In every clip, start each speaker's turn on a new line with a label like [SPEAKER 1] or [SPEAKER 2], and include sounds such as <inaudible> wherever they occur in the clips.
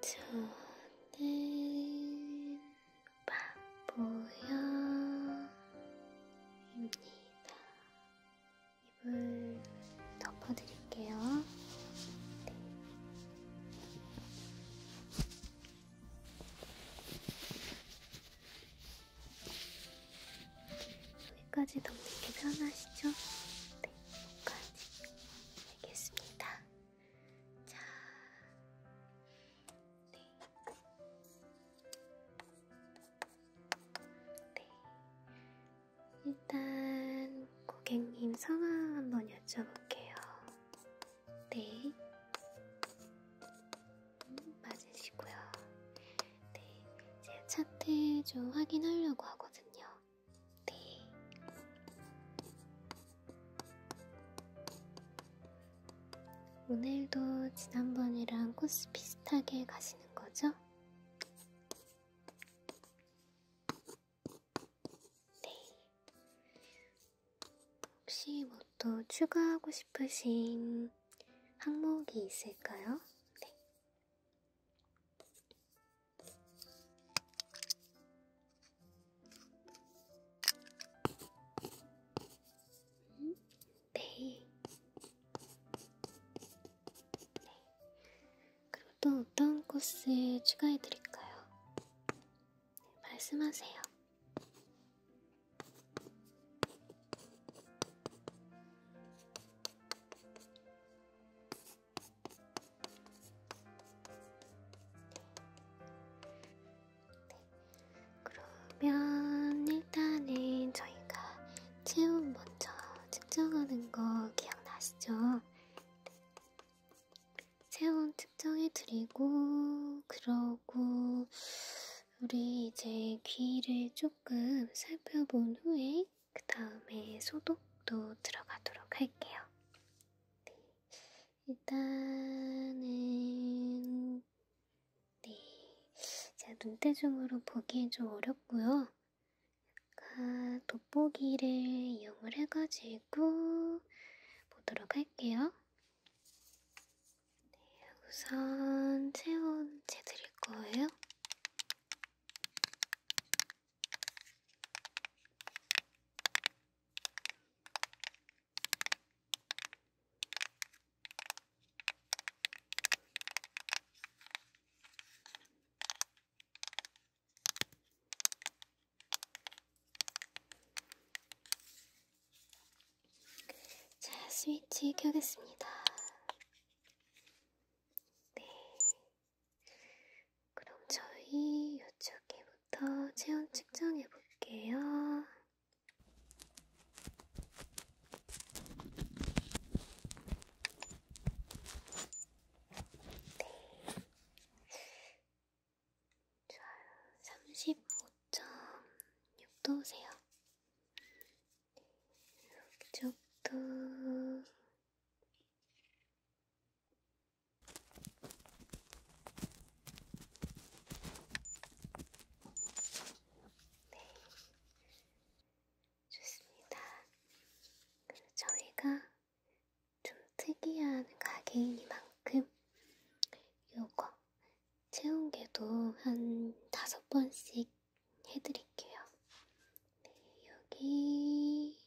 [SPEAKER 1] 저는 바보여입니다. 입을
[SPEAKER 2] 덮어드릴게요. 네. 여기까지 덮는 게 편하시죠? 네, 여기까지. 알겠습니다. 자, 네. 네. 일단 고객님 성함 한번 여쭤볼게요. 네. 음, 맞으시고요. 네. 제가 차트 좀 확인하려고 하거든요. 네. 오늘도 지난번이랑 코스 비슷하게 가시는 거죠? 네. 혹시 뭐 또 추가하고 싶으신 항목이 있을까요? 네.
[SPEAKER 1] 음? 네.
[SPEAKER 2] 네. 그리고 또 어떤 코스 추가해드릴까요? 말씀하세요. 네. 그러면 일단은 저희가 체온 먼저 측정하는 거 기억나시죠? 네. 체온 측정해 드리고 그러고 우리 이제 귀를 조금 살펴본 후에 그 다음에 소독도 들어가도록 할게요. 네. 일단은 네 제가 눈대중으로 보기엔 좀 어렵고요. 약간 돋보기를 이용을 해가지고 그리고 보도록 할게요. 네, 우선 체온 재드릴 거예요. 자, 스위치 켜겠습니다. 네. 그럼 저희 이쪽에부터 체온 측정해 볼게요. 네. 35.6도세요. 이쪽도 네, 좋습니다. 그래서 저희가 좀 특이한 가게이니만큼 요거 체온계도 한 다섯 번씩 해드릴게요. 네, 여기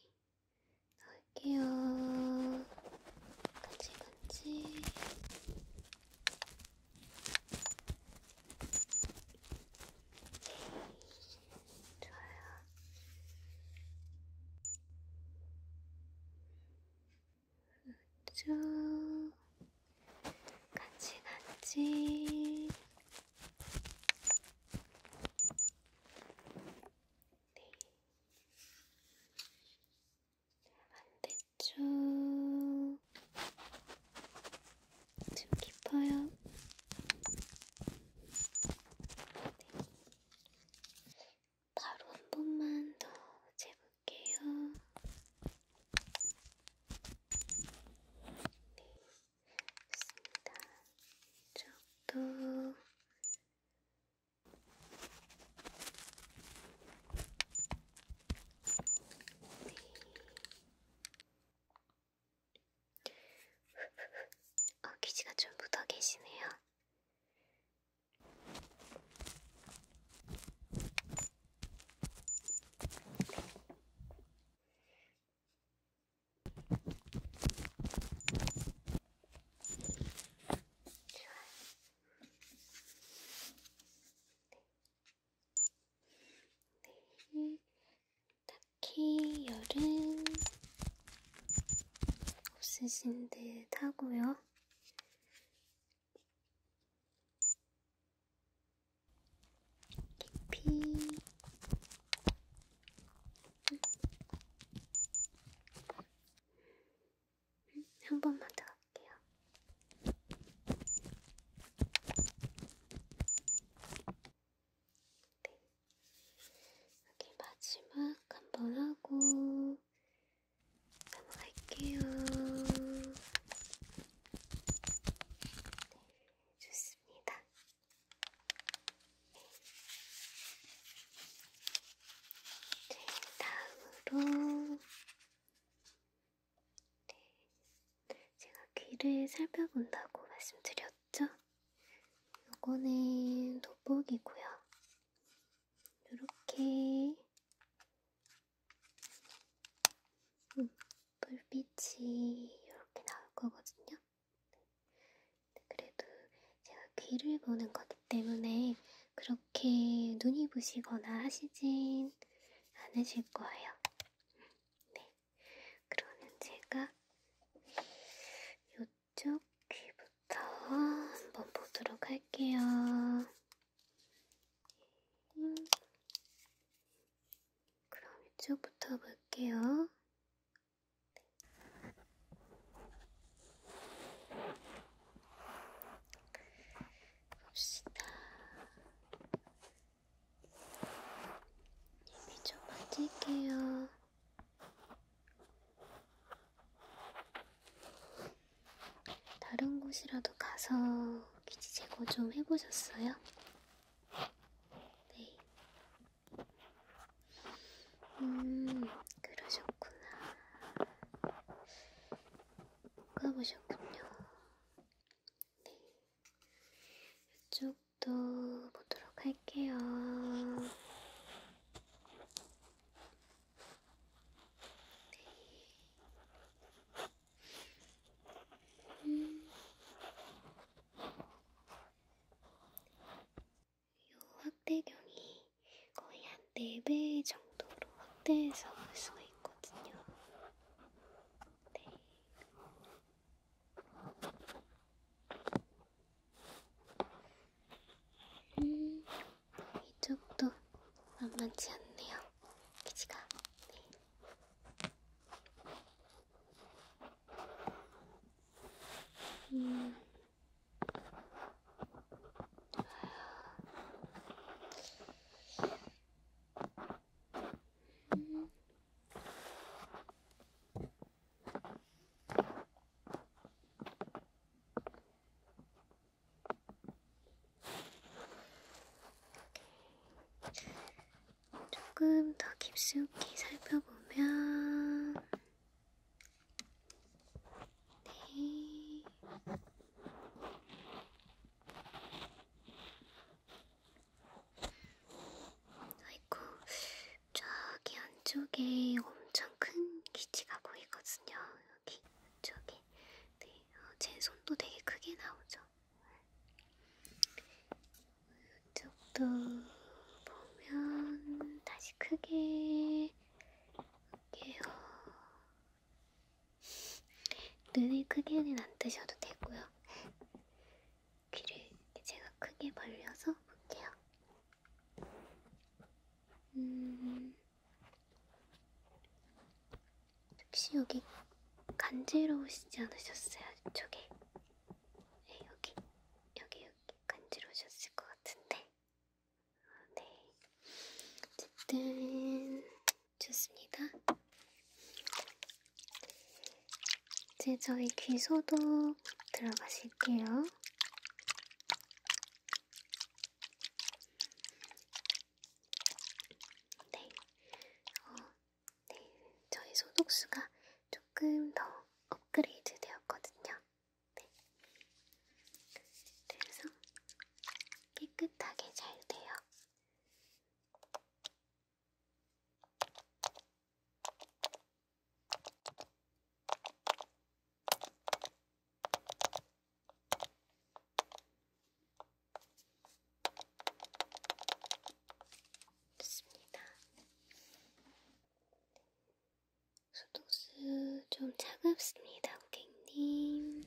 [SPEAKER 2] 넣을게요. 간지간지. 네, 좋아요. 우쭈 같이 같이 네 반대쪽 좀 깊어요. 네. 바로 한 번만 더 재볼게요. 네, 좋습니다. 이쪽도 네. 어, 귀지가 좀 묻어 계시네요. 네. 딱히 열은 없으신 듯 하고요. 깊이 음, 한 번만 더 할게요. 네. 여기 마지막 한 번 하고 끊어갈게요.
[SPEAKER 1] 네, 좋습니다. 네, 다음으로
[SPEAKER 2] 네, 제가 귀를 살펴본다고 말씀드렸죠? 요거는 돋보기고요. 이렇게 음, 불빛이 이렇게 나올 거거든요. 네, 그래도 제가 귀를 보는 거기 때문에 그렇게 눈이 부시거나 하시진 않으실 거예요. 네. 그러면 제가 이 왼쪽 귀부터 한번 보도록 할게요. 그럼 이쪽부터 볼게요.
[SPEAKER 1] 봅시다.
[SPEAKER 2] 입이 좀 빠질게요. 다른 곳이라도 가서 기지 제거 좀 해보셨어요? 네. 음, 그러셨구나. 까보셨군요. 네. 이쪽도 보도록 할게요. 음. 요 확대경이 거의 한 4배 정도로 확대해서 볼 수가 있거든요. 네. 음, 이쪽도 만만치 않네요. 기지가. 네. 음. 음. 조금 더 깊숙이 살펴보면 네. 아이고, 저기 안쪽에 엄청 큰 기지가 보이거든요. 여기 안쪽에. 네, 어, 제 손도 되게 크게 나오죠. 이쪽도 보면 다시 크게 할게요. 눈을 크게는 안 뜨셔도 되고요. 귀를 제가 크게 벌려서 볼게요. 음. 혹시 여기 간지러우시지 않으셨어요? 이쪽에 네, 여기 여기 여기 간지러우셨을
[SPEAKER 1] 것 같은데 네
[SPEAKER 2] 어쨌든 좋습니다. 이제 저희 귀소독 들어가실게요. 네, 어, 네, 저의 소독수가 조금 더 업그레이드 되었거든요. 네. 그래서 깨끗하게 잘 돼요. 좋습니다. 수도수 좀 차갑습니다, 고객님.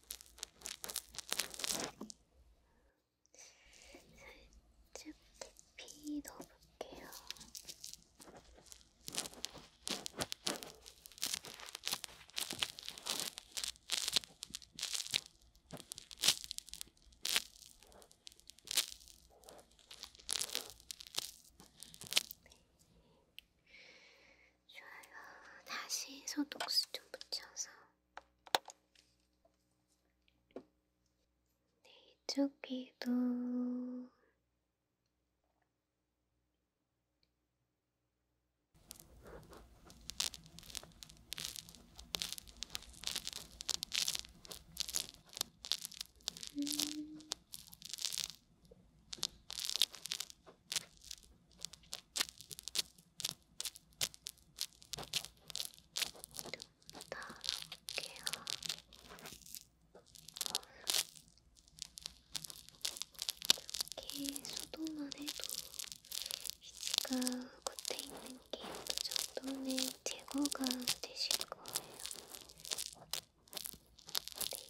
[SPEAKER 2] 살짝 깊이 넣어볼게요. 네. 좋아요. 다시 소독수 좀 붙여서 네, 이쪽 귀도 음. 따라볼게요. 이렇게 소독만 해도 피지가 겉에 있는 게 어느 그 정도는 제거가 되실 거예요. 네.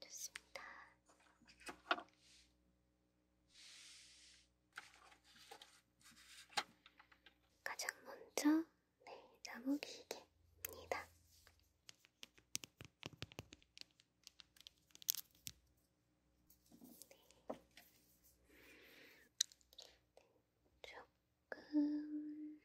[SPEAKER 2] 좋습니다. 가장 먼저 네, 나무 기계입니다. 네. 조금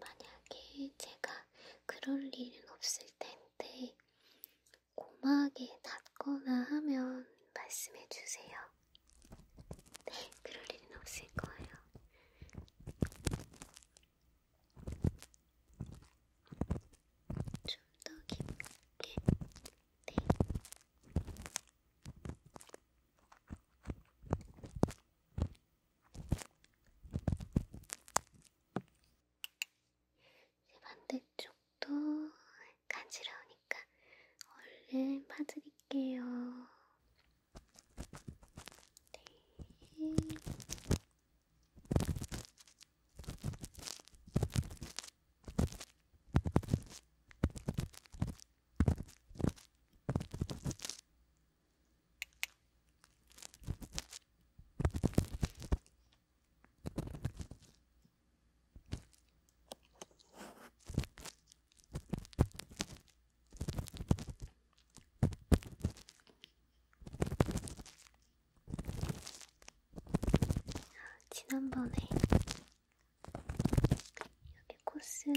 [SPEAKER 2] 만약에 제가 그럴 일은 없을 텐데 고막에 닿거나 하면 말씀해 주세요. 네, 그럴 일은 없을 거예요. 좀 더 깊게, 네. 이제 반대쪽도 간지러우니까 얼른 파드릴게요. 네. 지난번에 여기 코스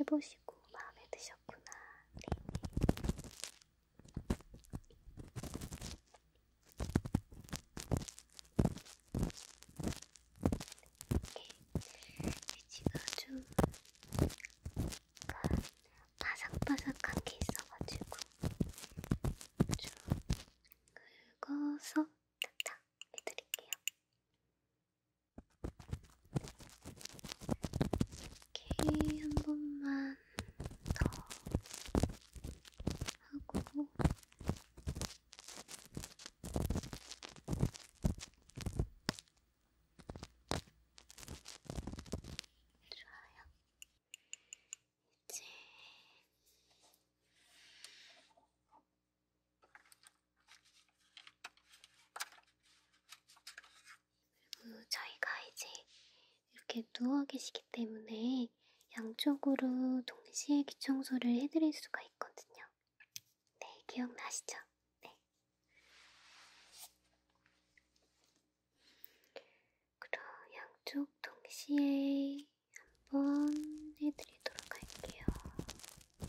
[SPEAKER 2] 해보시고 마음에 드셨구나. 네. 위치가 좀 바삭바삭한 게 있어가지고 좀 긁어서 탁탁 해드릴게요. 오케이, 한 번만 더 하고. 좋아요. 이제 그리고 음, 저희가 이제 이렇게 누워 계시기 때문에 양쪽으로 동시에 귀 청소를 해드릴 수가 있거든요. 네, 기억나시죠? 네. 그럼 양쪽 동시에 한번 해드리도록 할게요. 네.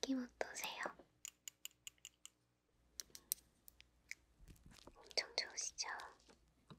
[SPEAKER 2] 느낌 어떠세요? 엄청 좋으시죠?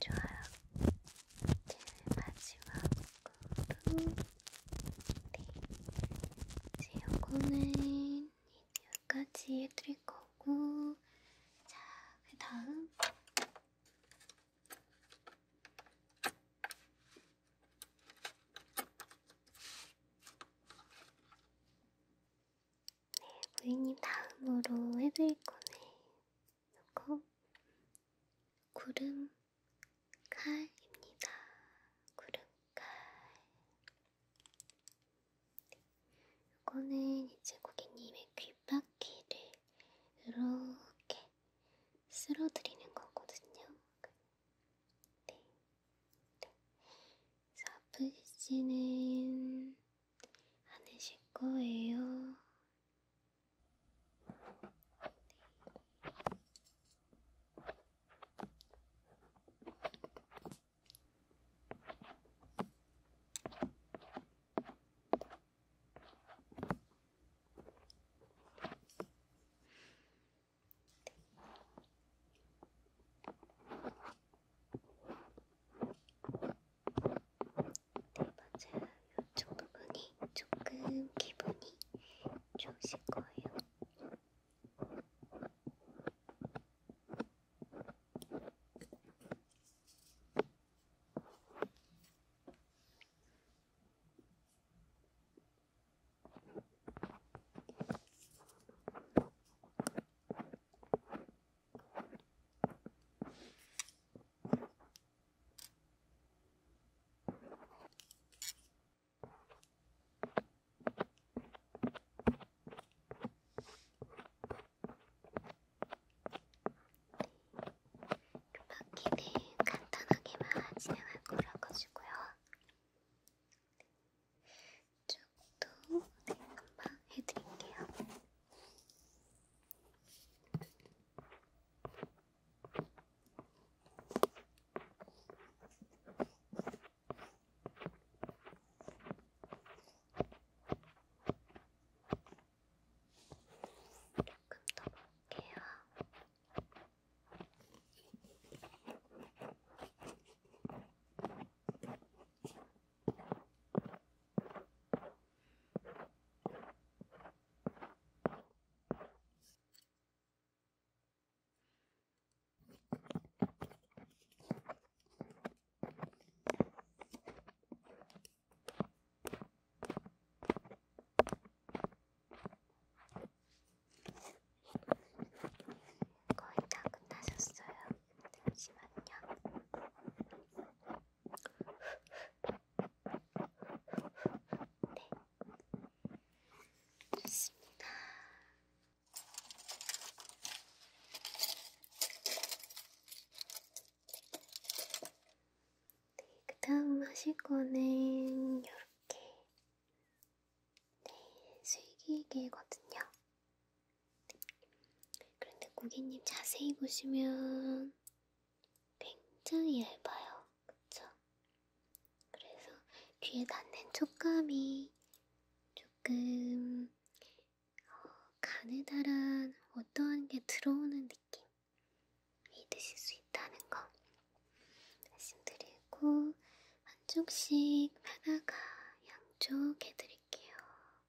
[SPEAKER 2] 좋아요. 제일 마지막으로 네. 이제 요거는 여기까지 해드릴 거고 자, 그 다음 네, 부인님 다음으로 해드릴 거네.
[SPEAKER 1] 이거 구름 칼입니다. 구름 칼.
[SPEAKER 2] 이거는 이제 고객님의 귓바퀴를 이렇게 쓸어드리는
[SPEAKER 1] 거거든요. 네.
[SPEAKER 2] 네. 그래서 아프시지는 않으실 거예요. 네.
[SPEAKER 1] 맞아요. 이쪽 부분이 조금
[SPEAKER 2] 기분이 좋으실 거예요.
[SPEAKER 1] 바퀴는 간단하게만 진행할
[SPEAKER 2] 거라 가지고요. 이쪽도 네, 금방 해드릴게요. 조금 더 볼게요. 거의 다 끝나셨어요. 잠시만요. 네. 좋습니다. 네, 그 다음 하실 거는 이렇게 네, 슬기개거든요. 그런데 고객님 자세히 보시면 굉장히 얇아요. 그쵸? 그래서 귀에 닿는 촉감이 조금 어, 가느다란 어떠한 게 들어오는
[SPEAKER 1] 느낌이
[SPEAKER 2] 드실 수 있다는 거 말씀드리고 한쪽씩 하다가 양쪽 해드릴게요.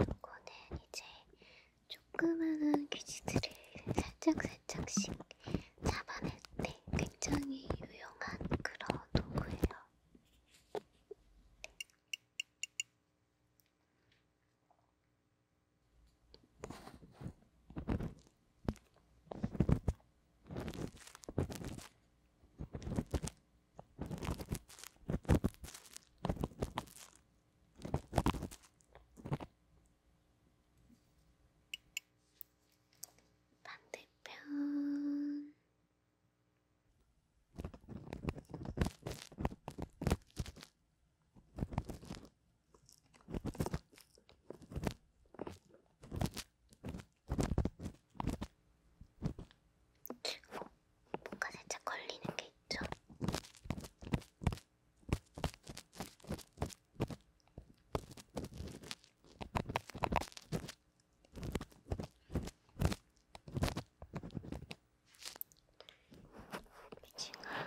[SPEAKER 2] 요거는 이제 조그마한 귀지들을 살짝살짝씩
[SPEAKER 1] 잡아낼 때 굉장히 유용한 그런 도구예요. 반대편
[SPEAKER 2] 뭔가 살짝 걸리는 게 있죠? 미친아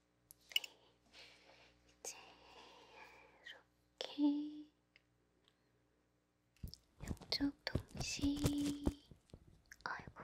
[SPEAKER 2] 이제 이렇게 양쪽 동시 아이고 아.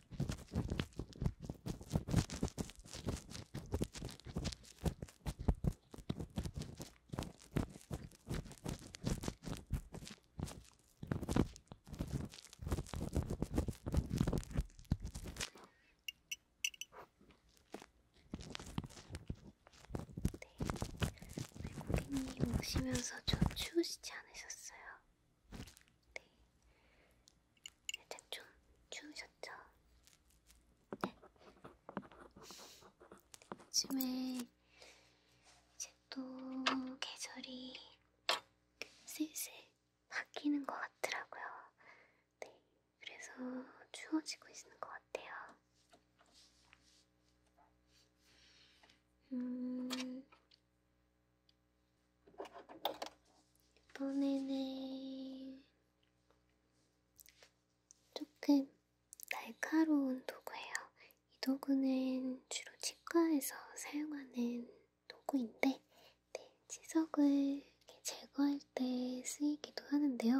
[SPEAKER 2] 네, 고객님 오시면서 좀 추우시지 않으셨어요? 네, 살짝 좀 추우셨죠? 네. 요즘에 이제 또 계절이 슬슬 바뀌는 것 같더라고요. 네, 그래서 추워지고 있는 것 같아요. 음, 이번에는 조금 날카로운 도구예요. 이 도구는 주로 치과에서 사용하는 도구인데 네, 치석을 제거할 때 쓰이기도 하는데요.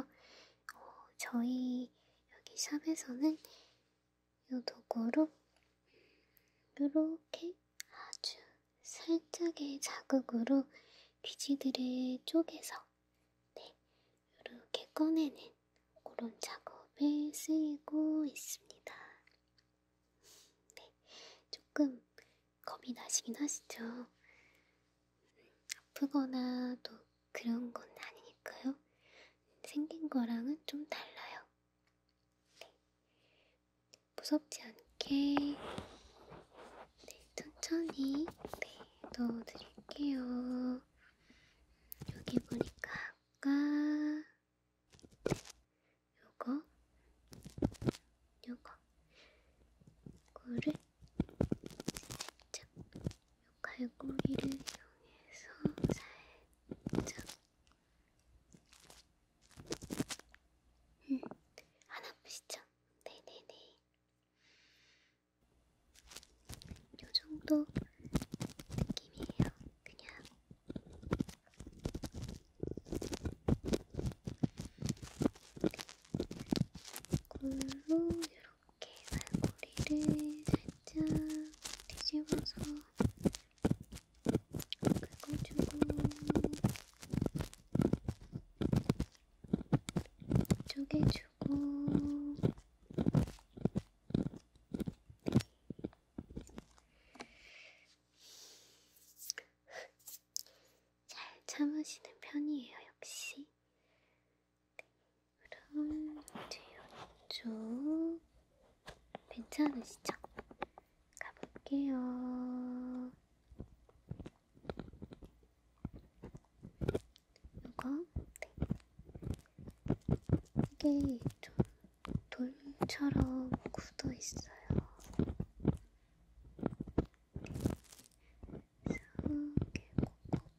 [SPEAKER 2] 어, 저희 여기 샵에서는 이 도구로 이렇게 아주 살짝의 자극으로 귀지들을 쪼개서 네, 이렇게 꺼내는 그런 작업에 쓰이고 있습니다. 네, 조금 겁이 나시긴 하시죠? 음, 아프거나 또 그런 건 아니니까요. 생긴 거랑은 좀 달라요. 네. 무섭지 않게 네, 천천히 네, 넣어드릴게요. 여기 보니까 아까 요거 요거 이거를 살짝 요 갈고리를 이용해서 살짝 음, 안 아프시죠? 네네네. 요 정도 느낌이에요. 그냥 골로 이렇게 말고리를 살짝 뒤집어서 긁어주고 이쪽에 주고 잘 참으시는 편이에요, 역시. 그럼 이제 이쪽 괜찮으시죠? 가볼게요. 이거 이게 좀 돌처럼 굳어 있어요.
[SPEAKER 1] 이렇게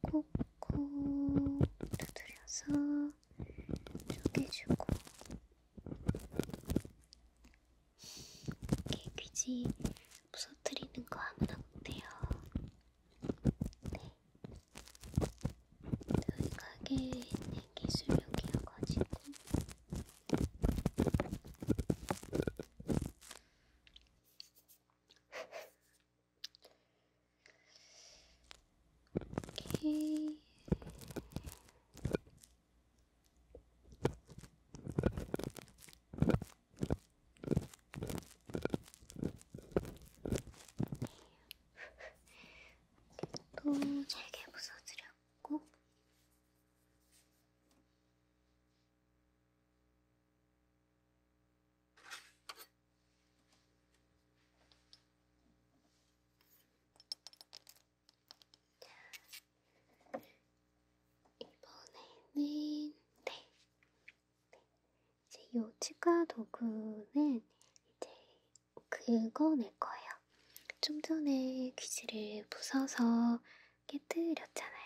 [SPEAKER 1] 콕콕콕콕 두드려서 쪼개주고
[SPEAKER 2] 이렇게 귀지 부서뜨리는 거 하나 못해요. 네. 저희 가게에 있는
[SPEAKER 1] 기술력이어가지고. 오케이.
[SPEAKER 2] 또 잘게 부숴드렸고 이번에는 네. 네. 이제 요 치과 도구는 이제 긁어낼 거예요. 좀 전에 귀지를 부숴서 깨뜨렸잖아요.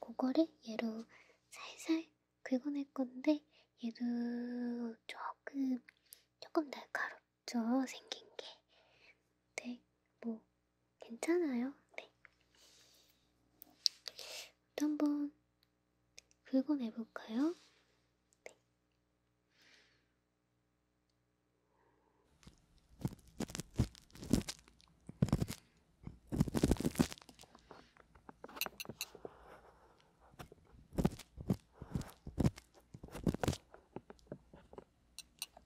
[SPEAKER 2] 그거를 얘로 살살 긁어낼 건데 얘도 조금 조금 날카롭죠 생긴 게. 근데 뭐 괜찮아요. 네. 또 한번 긁어내볼까요? 네.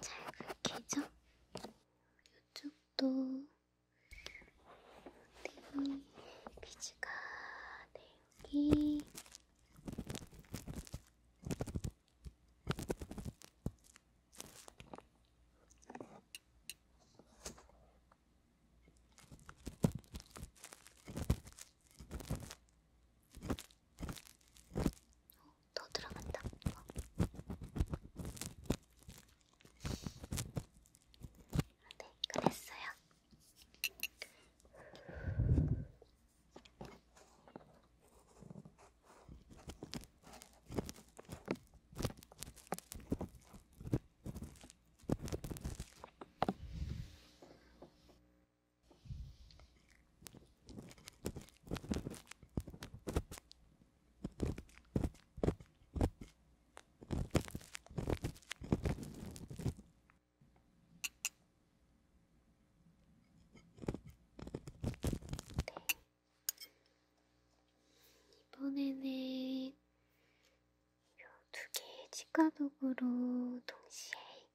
[SPEAKER 2] 잘 갈게죠? 이쪽도 네, 비즈가 네, 여기 어, 더 들어간다. 어. 네, 끝냈어요. 이번에는 두 개의 치과 도구로 동시에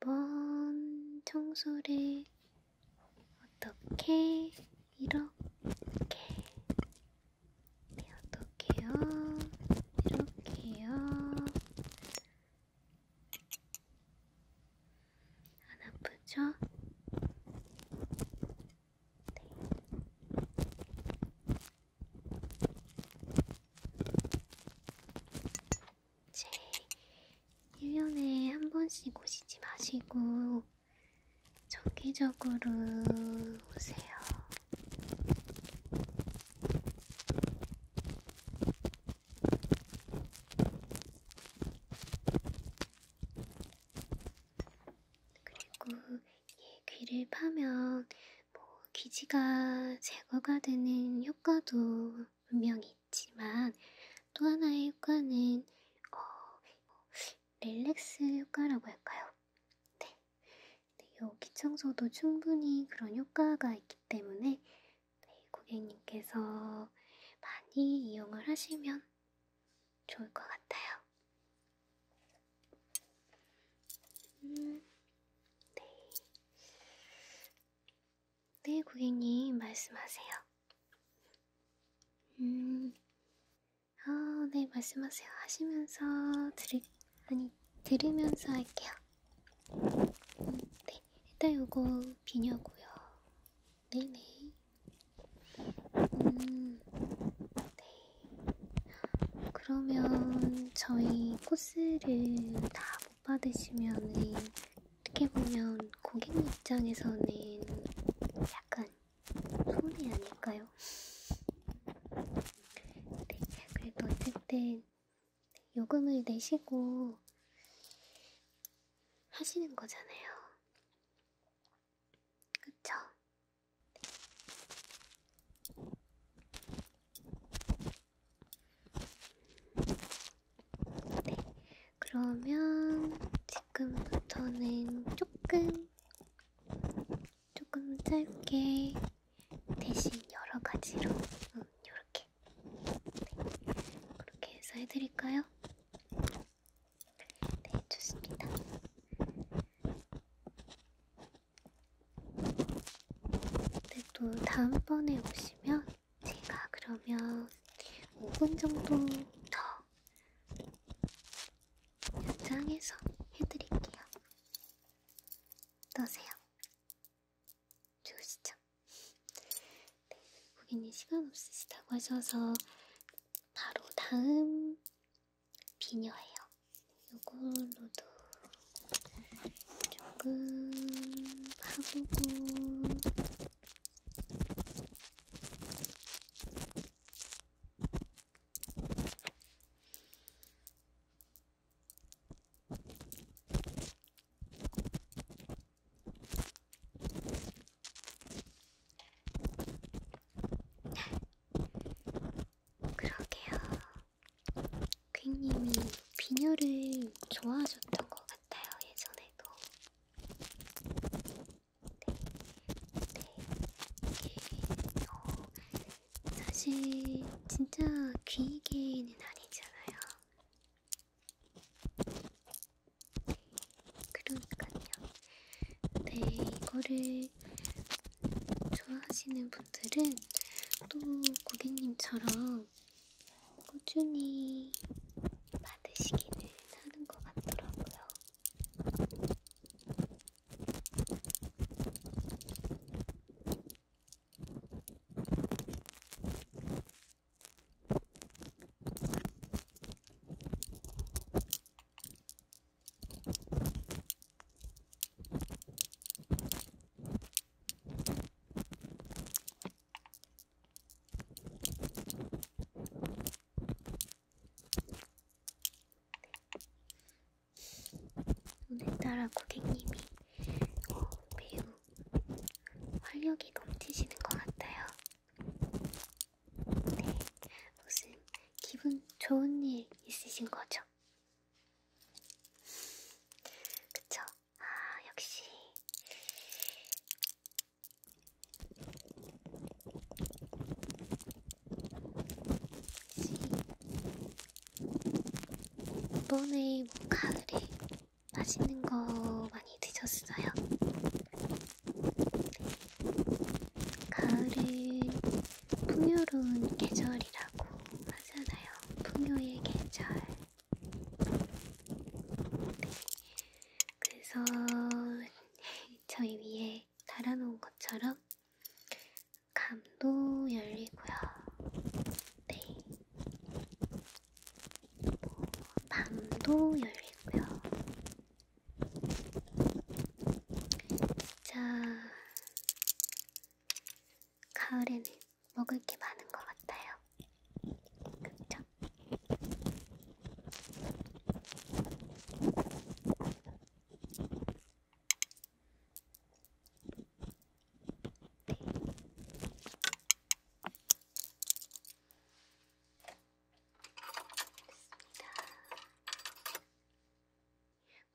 [SPEAKER 2] 한번 청소를 어떻게 이렇게 네, 어떻게요? 이렇게요? 안 아프죠? 네. 제 1년에 한 번씩 오시지 마시고 정기적으로 오세요. 그리고 이 귀를 파면 뭐 기지가 제거가 되는 효과도 분명히 있지만 또 하나의 효과는 어, 릴렉스 효과라고 할까요? 네. 네, 여기 청소도 충분히 그런 효과가 있기 때문에 네, 고객님께서 많이 이용을 하시면 좋을 것 같아요. 음, 네. 네, 고객님, 말씀하세요. 음, 아, 네, 말씀하세요. 하시면서 들을, 아니, 들으면서 할게요. 음, 네, 일단 요거 비냐고요. 네네. 음, 네. 그러면 저희 코스를 다못 받으시면은 어떻게 보면 고객 입장에서는 약간 손이 아닐까요? 네, 그래도 어쨌든 요금을 내시고 하시는 거잖아요. 그쵸? 네. 네, 그러면 지금부터는 조금, 조금 짧게 대신 여러 가지로, 응, 음, 요렇게. 네, 그렇게 해서 해드릴까요? 네, 좋습니다. 네, 또 다음번에 오시면 제가 그러면 5분 정도 더 연장해서 해드릴게요. 어떠세요? 좋으시죠? 네, 고객님 시간 없으시다고 하셔서 바로 다음 비녀예요. 요걸로도 조금 음. 파보고 그러게요. 퀵님이 비녀를 좋아하셨던 것 같아요, 예전에도. 네, 네, 이게, 어, 사실, 진짜 귀이개는 아니잖아요. 네, 그러니까요. 네, 이거를 좋아하시는 분들은 또 고객님처럼 꾸준히 받으시기는 하는 것 같더라고요. 오늘따라 고객님이 매우 활력이 넘치시는 것 같아요. 네, 무슨 기분 좋은 일 있으신 거죠? 그쵸? 아, 역시. 이번에 뭐 가을에 맛있는 거 많이 드셨어요? 가을은 풍요로운 계절이라고 하잖아요. 풍요의 계절. 그래서 저희 위에 달아놓은 것처럼 감도 열리고요. 네. 뭐 밤도 열리고요. 진짜 가을에는 먹을 게 많은 것 같아요. 그쵸? 네.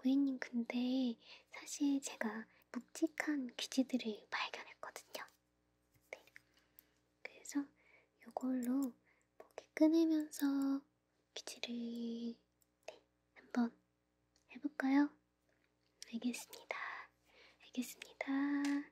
[SPEAKER 2] 고객님 근데 사실 제가 묵직한 귀지들을 발견했거든요. 네. 그래서 이걸로 목에 끊으면서 귀지를 네. 한번 해볼까요? 알겠습니다. 알겠습니다. 네.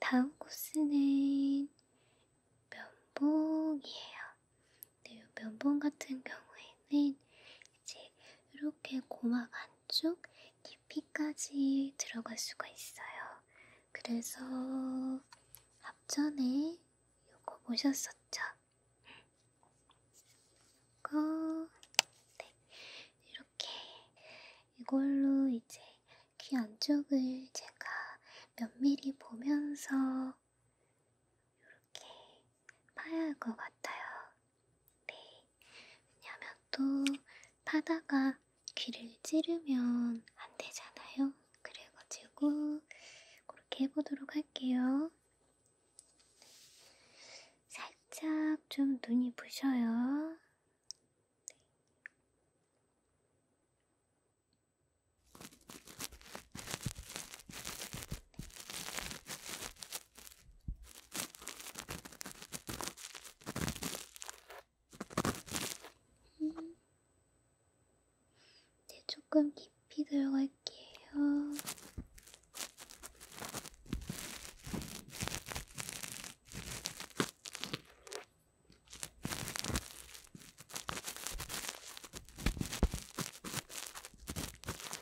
[SPEAKER 2] 다음 코스는 면봉이에요. 네, 면봉 같은 경우에는 이제 이렇게 고막 안쪽 깊이까지 들어갈 수가 있어요. 그래서 앞전에 이거 보셨었죠? 이거 네, 이렇게 이걸로 이제 귀 안쪽을 제가 몇 미리 보면서 이렇게 파야 할 것 같아요. 네. 왜냐면 또 파다가 귀를 찌르면 안 되잖아요. 그래가지고 그렇게 해보도록 할게요. 살짝 좀 눈이 부셔요. 네. 음. 네, 이제 조금 깊이 들어갈게요.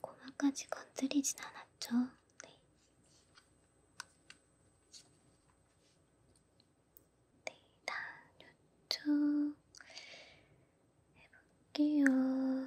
[SPEAKER 2] 고마까지 건드리진 않았죠? 네. 네, 다른 쪽 해볼게요.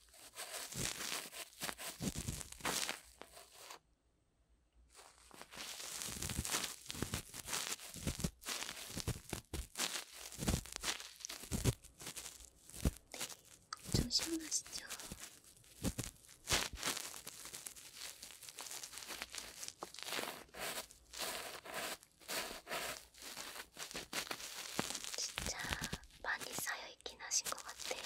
[SPEAKER 2] 네, 좀 시원하시죠? 진짜 많이 쌓여있긴 하신 것 같아요.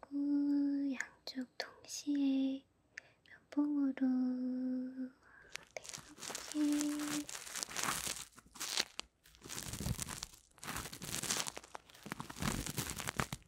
[SPEAKER 2] 그리고 양쪽 동시에 몇 봉으로 이렇게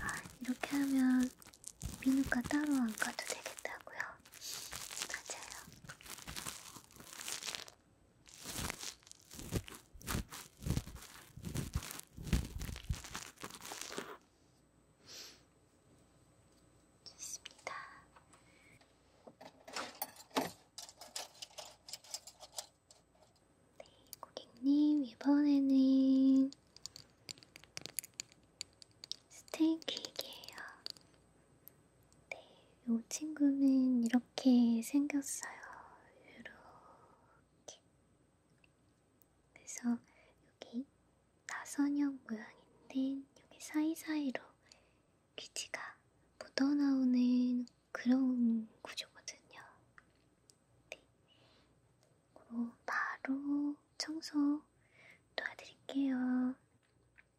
[SPEAKER 2] 아, 이렇게 하면 미누가 따로 안 가도 되겠다고요. 맞아요. 좋습니다. 네, 고객님, 이번에는 스테이크이에요. 네, 이 친구는 이렇게 생겼어요. 이렇게. 그래서 여기 나선형 모양인데 여기 사이사이로 귀지가 묻어나오는 그런 구조거든요. 네. 그리고 바로 청소 도와드릴게요.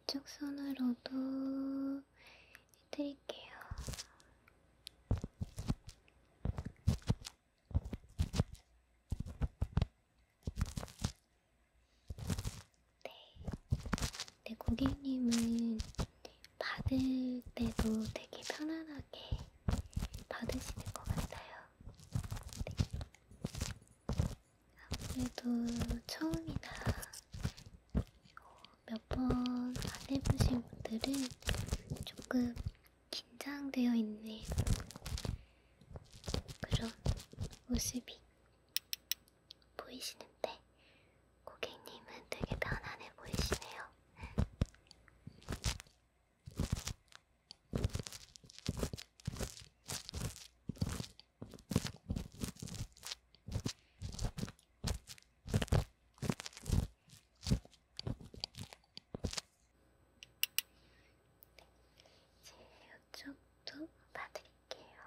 [SPEAKER 2] 이쪽 손으로도 해드릴게요. 네. 네, 고객님은 받을 때도 되게 편안하게 받으시는 것 같아요. 네. 아무래도 처음이나 몇번안 해보신 분들은 조금 긴장되어 있는 그런 모습이 보이시는데 고객님은 되게 편안해 보이시네요. 이제 이쪽도 봐드릴게요.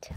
[SPEAKER 2] 자.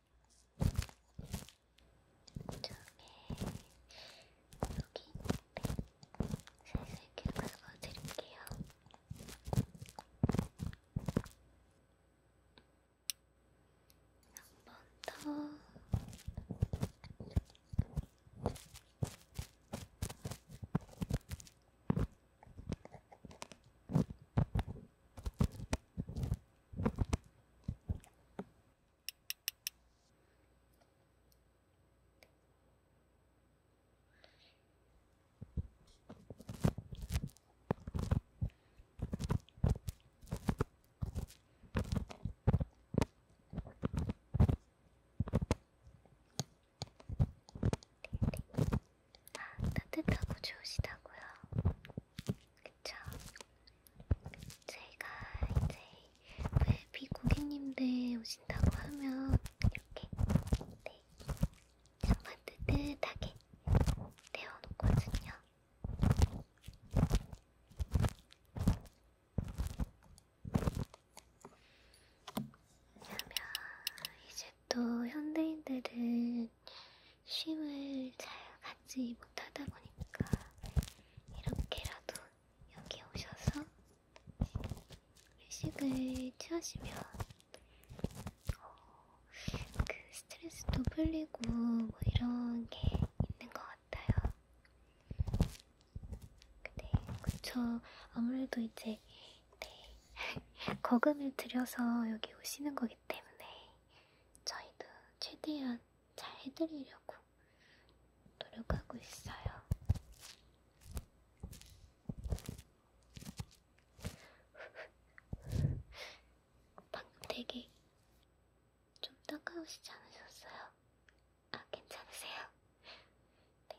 [SPEAKER 2] 처음에 여기 있는데 살살 긁어서 드릴게요. 한 번 더. 자, 따뜻하고 좋으시다고요. 그쵸? 제가 이제 VIP 고객님들 오신다고 하면 이렇게 네, 잠깐 뜨뜻하게 데워놓거든요. 왜냐면 이제 또 현대인들은 쉼을 잘 갖지 못하다 보니까 이렇게라도 여기 오셔서 휴식을 취하시면 어, 그 스트레스도 풀리고 뭐 이런 게 있는 것 같아요. 네, 그쵸. 아무래도 이제 네, <laughs> 거금을 들여서 여기 오시는 거기 때문에 저희도 최대한 잘 해드리려고 노력하고 있어요. <laughs> 방금 되게
[SPEAKER 1] 좀 따가우시지 않으셨어요? 아, 괜찮으세요? 네.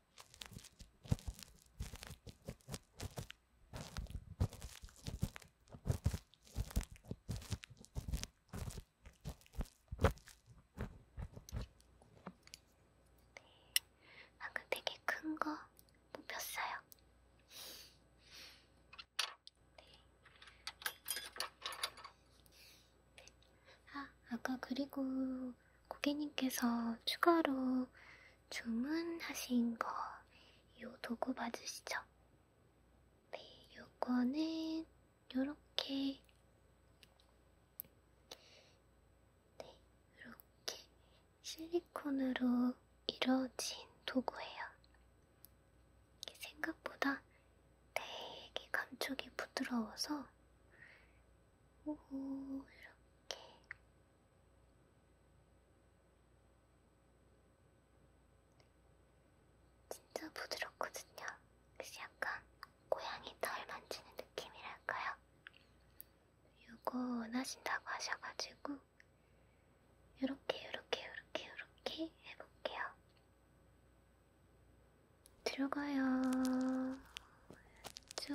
[SPEAKER 2] 방금 아, 그 되게 큰 거 뽑혔어요. 네. 네. 아, 아까 그리고 고객님께서 추가로 주문하신 거, 요 도구 봐주시죠? 네, 요거는 요렇게, 네, 요렇게 실리콘으로 이루어진 도구예요. 생각보다 되게 감촉이 부드러워서, 오, 이렇게 진짜 부드럽거든요. 그래서 약간 고양이 털 만지는 느낌이랄까요? 요거 원하신다고 하셔가지고 요렇게 요렇게 요렇게 요렇게 해볼게요. 들어가요. 쭉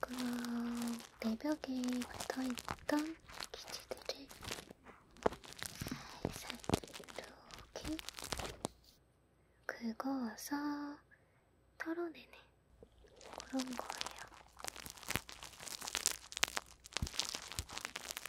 [SPEAKER 2] 그럼 내벽에 붙어있던 기지들을 살살 이렇게 긁어와서 털어내는 그런 거예요.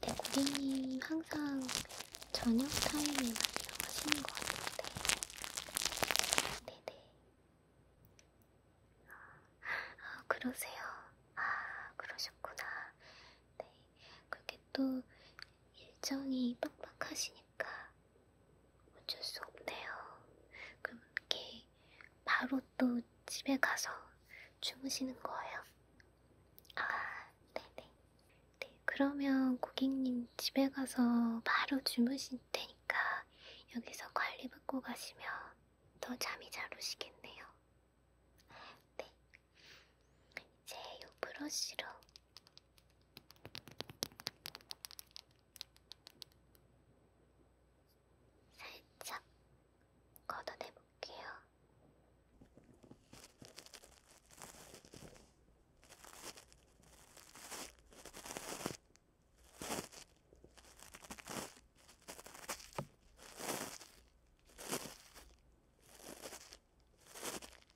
[SPEAKER 2] 네, 고객님 항상 저녁 타임에
[SPEAKER 1] 많이 나오시는 것 같은데. 아, 네네.
[SPEAKER 2] 아, 아, 그러세요. 아, 그러셨구나. 네. 그렇게 또 일정이 빡빡하시니까 어쩔 수 없네요. 그럼 이렇게 바로 또 집에 가서 주무시는 거예요? 아, 네네. 네, 그러면 고객님 집에 가서 바로 주무실 테니까 여기서 관리받고 가시면 더 잠이 잘 오시겠네요. 네, 이제 요 브러쉬로 살짝 걷어내 볼게요.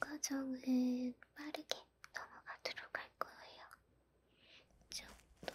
[SPEAKER 2] 과정은 빠르게 넘어가도록 할 거예요.
[SPEAKER 1] 이쪽도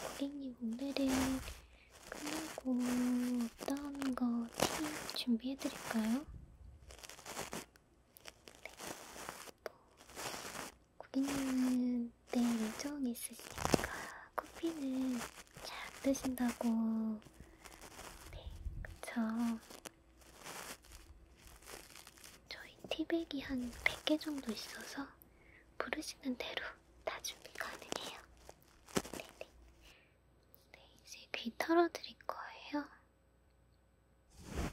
[SPEAKER 2] 고객님 오늘은 끝나고 어떤 거팁 준비해드릴까요? 고객님은 내일 네, 일정이 있으시니까 커피는 잘안 드신다고 네, 그쵸 저희 티백이 한 100개 정도 있어서 부르시는
[SPEAKER 1] 대로 다 준비 가능해요 네네 네.
[SPEAKER 2] 네, 이제 귀 털어드릴 거예요. 네,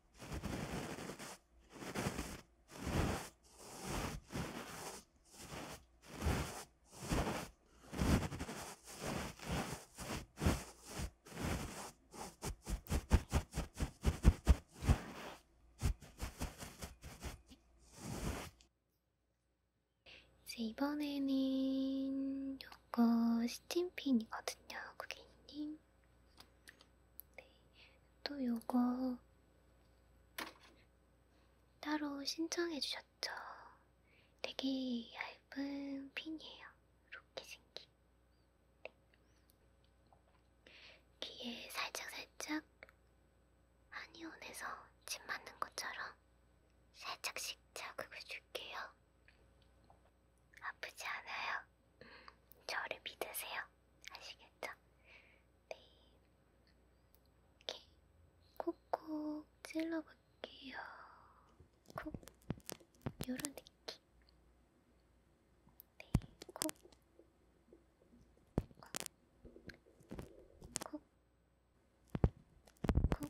[SPEAKER 2] 이제 이번에는 요거 스팀핀이거든요, 고객님. 네. 또 요거 따로 신청해주셨죠. 되게 얇은 핀이에요. 이렇게 생긴. 네. 귀에 살짝살짝 한의원에서 침 맞는 것처럼 살짝씩 자극을 줄게요. 아프지 않아요? 저를 믿으세요. 아시겠죠? 네. 이렇게 콕콕 찔러볼게요. 콕. 요런 느낌. 네, 콕. 콕. 콕. 콕.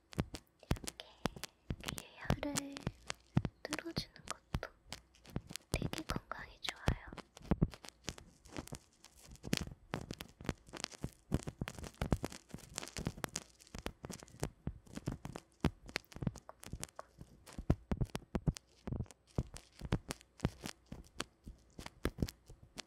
[SPEAKER 2] 이렇게 귀에 혀를 뚫어주는 것도 되게 건강에 좋아요.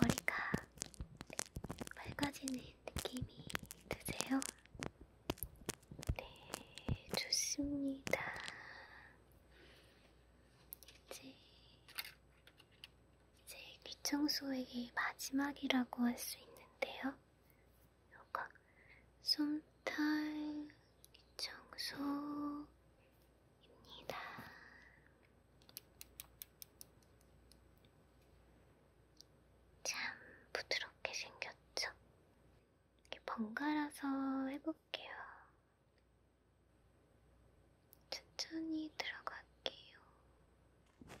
[SPEAKER 2] 머리가 맑아지는 느낌이 드세요? 네, 좋습니다. 이제, 이제 귀청소의 마지막이라고 할 수 있는데요. 요거 어, 솜털
[SPEAKER 1] 청소입니다. 참 부드럽게 생겼죠?
[SPEAKER 2] 이렇게 번갈아서 해볼게요. 천천히 들어갈게요. 네.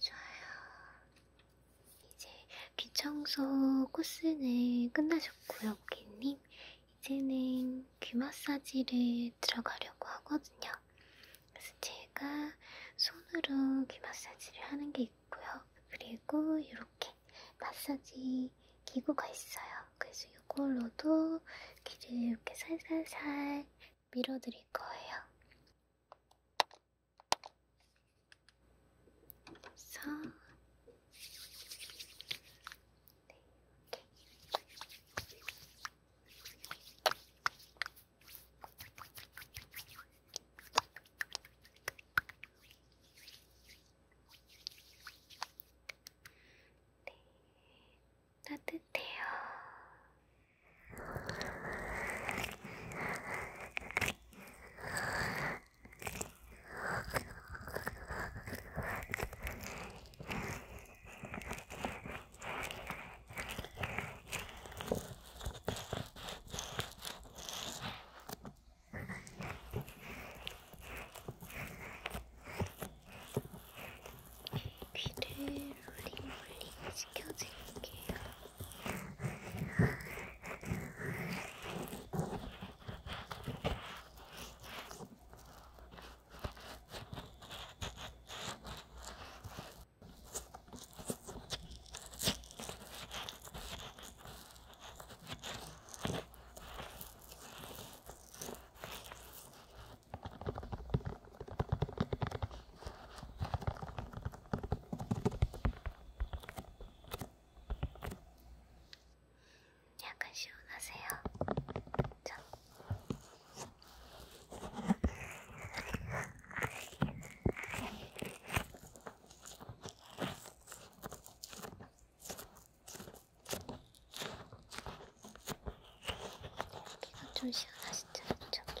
[SPEAKER 2] 좋아요. 이제 귀청소 코스는 끝나셨고요, 고객님. 이제는 귀 마사지를 들어가려고 하거든요. 그래서 제가 손으로 귀 마사지를 하는 게 있고요. 그리고 이렇게 마사지 기구가 있어요. 그래서 이걸로도 귀를 이렇게 살살살 밀어드릴 거예요. 그래서 네, 이렇게 따뜻해요.
[SPEAKER 1] 귀를 롤링롤링 시켜줄게요.
[SPEAKER 2] 약간 시원하세요? 자, 여기가 좀 시원하시죠? 저기.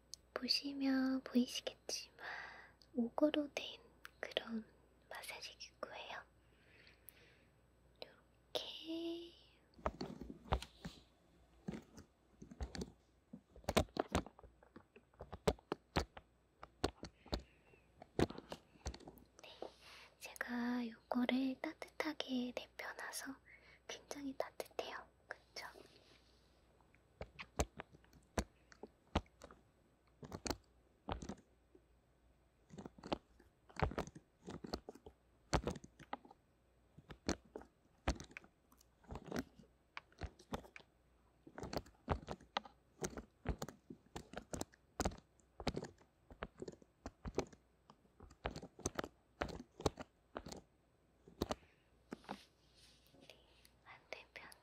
[SPEAKER 2] 보시면 보이시겠지만 오거로 된 그런 마사지 기구예요. 이렇게 네, 제가 요거를 따뜻하게 내펴놔서 굉장히 따뜻해요. 그쵸? 반대편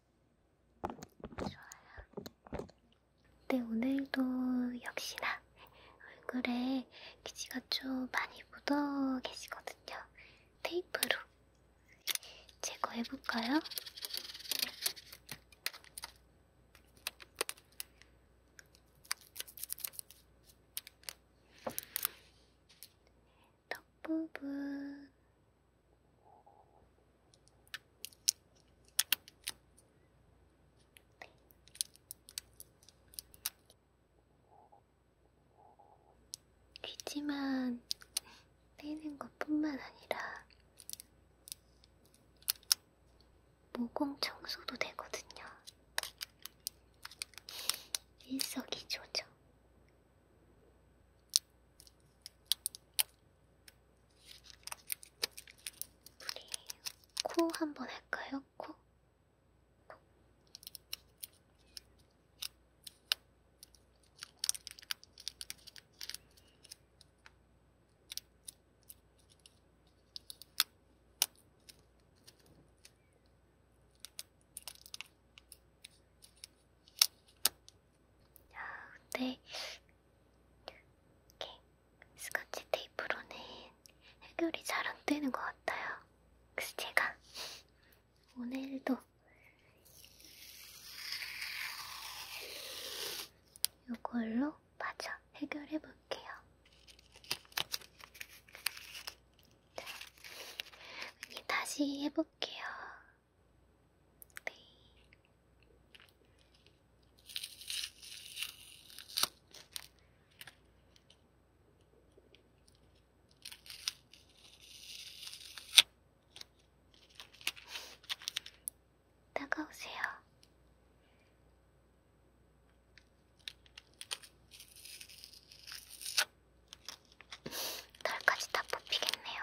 [SPEAKER 2] 좋아요. 근데 네, 오늘도 역시나 얼굴에 기지가 좀 많이 묻어 계시거든요. 테이프로 제거해볼까요? 턱 부분 네. 귀지만 떼는 것뿐만 아니라 모공 청소도 되거든요. 일석이조죠. 우리 코 한번 할까요? 코? 코. 야, 근데 이렇게 스카치 테이프로는 해결이 잘 안 되는 것 같아요. 그래서 제가 오늘도 이걸로 마저 해결해 볼게요. 다시 해볼게요. 네. 다가오세요. 털까지 다 뽑히겠네요.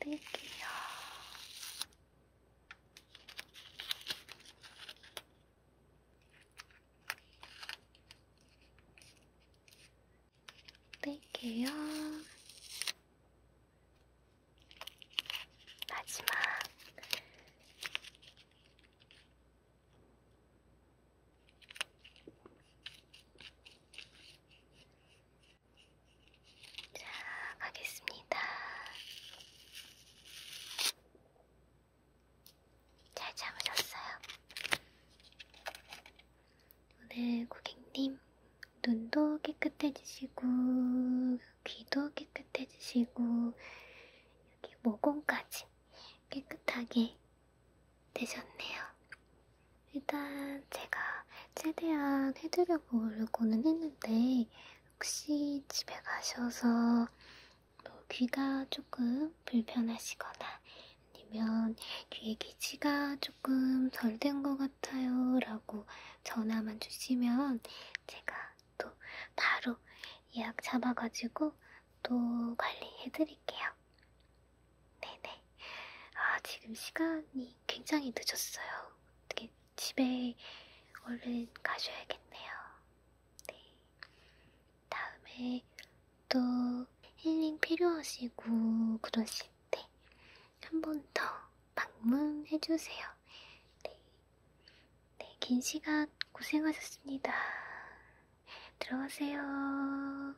[SPEAKER 1] 뺄게요.
[SPEAKER 2] 뺄게요.
[SPEAKER 1] 마지막. 자, 가겠습니다.
[SPEAKER 2] 잘 참으셨어요? 오늘 고객님, 눈도 깨끗해지시고, 귀도 깨끗해지시고, 여기 모공까지 깨끗하게 되셨네요. 일단 제가 최대한 해드려보려고는 했는데 혹시 집에 가셔서 뭐 귀가 조금 불편하시거나 아니면 귀에 기지가 조금 덜 된 것 같아요 라고 전화만 주시면 제가 또 바로 예약 잡아가지고 또 관리해드릴게요. 네네. 아, 지금 시간이 굉장히 늦었어요. 어떻게 집에 얼른 가셔야겠네요. 네. 다음에 또 힐링 필요하시고 그러실 때 한 번 더 방문해주세요. 네. 네, 긴 시간
[SPEAKER 1] 고생하셨습니다. 들어가세요.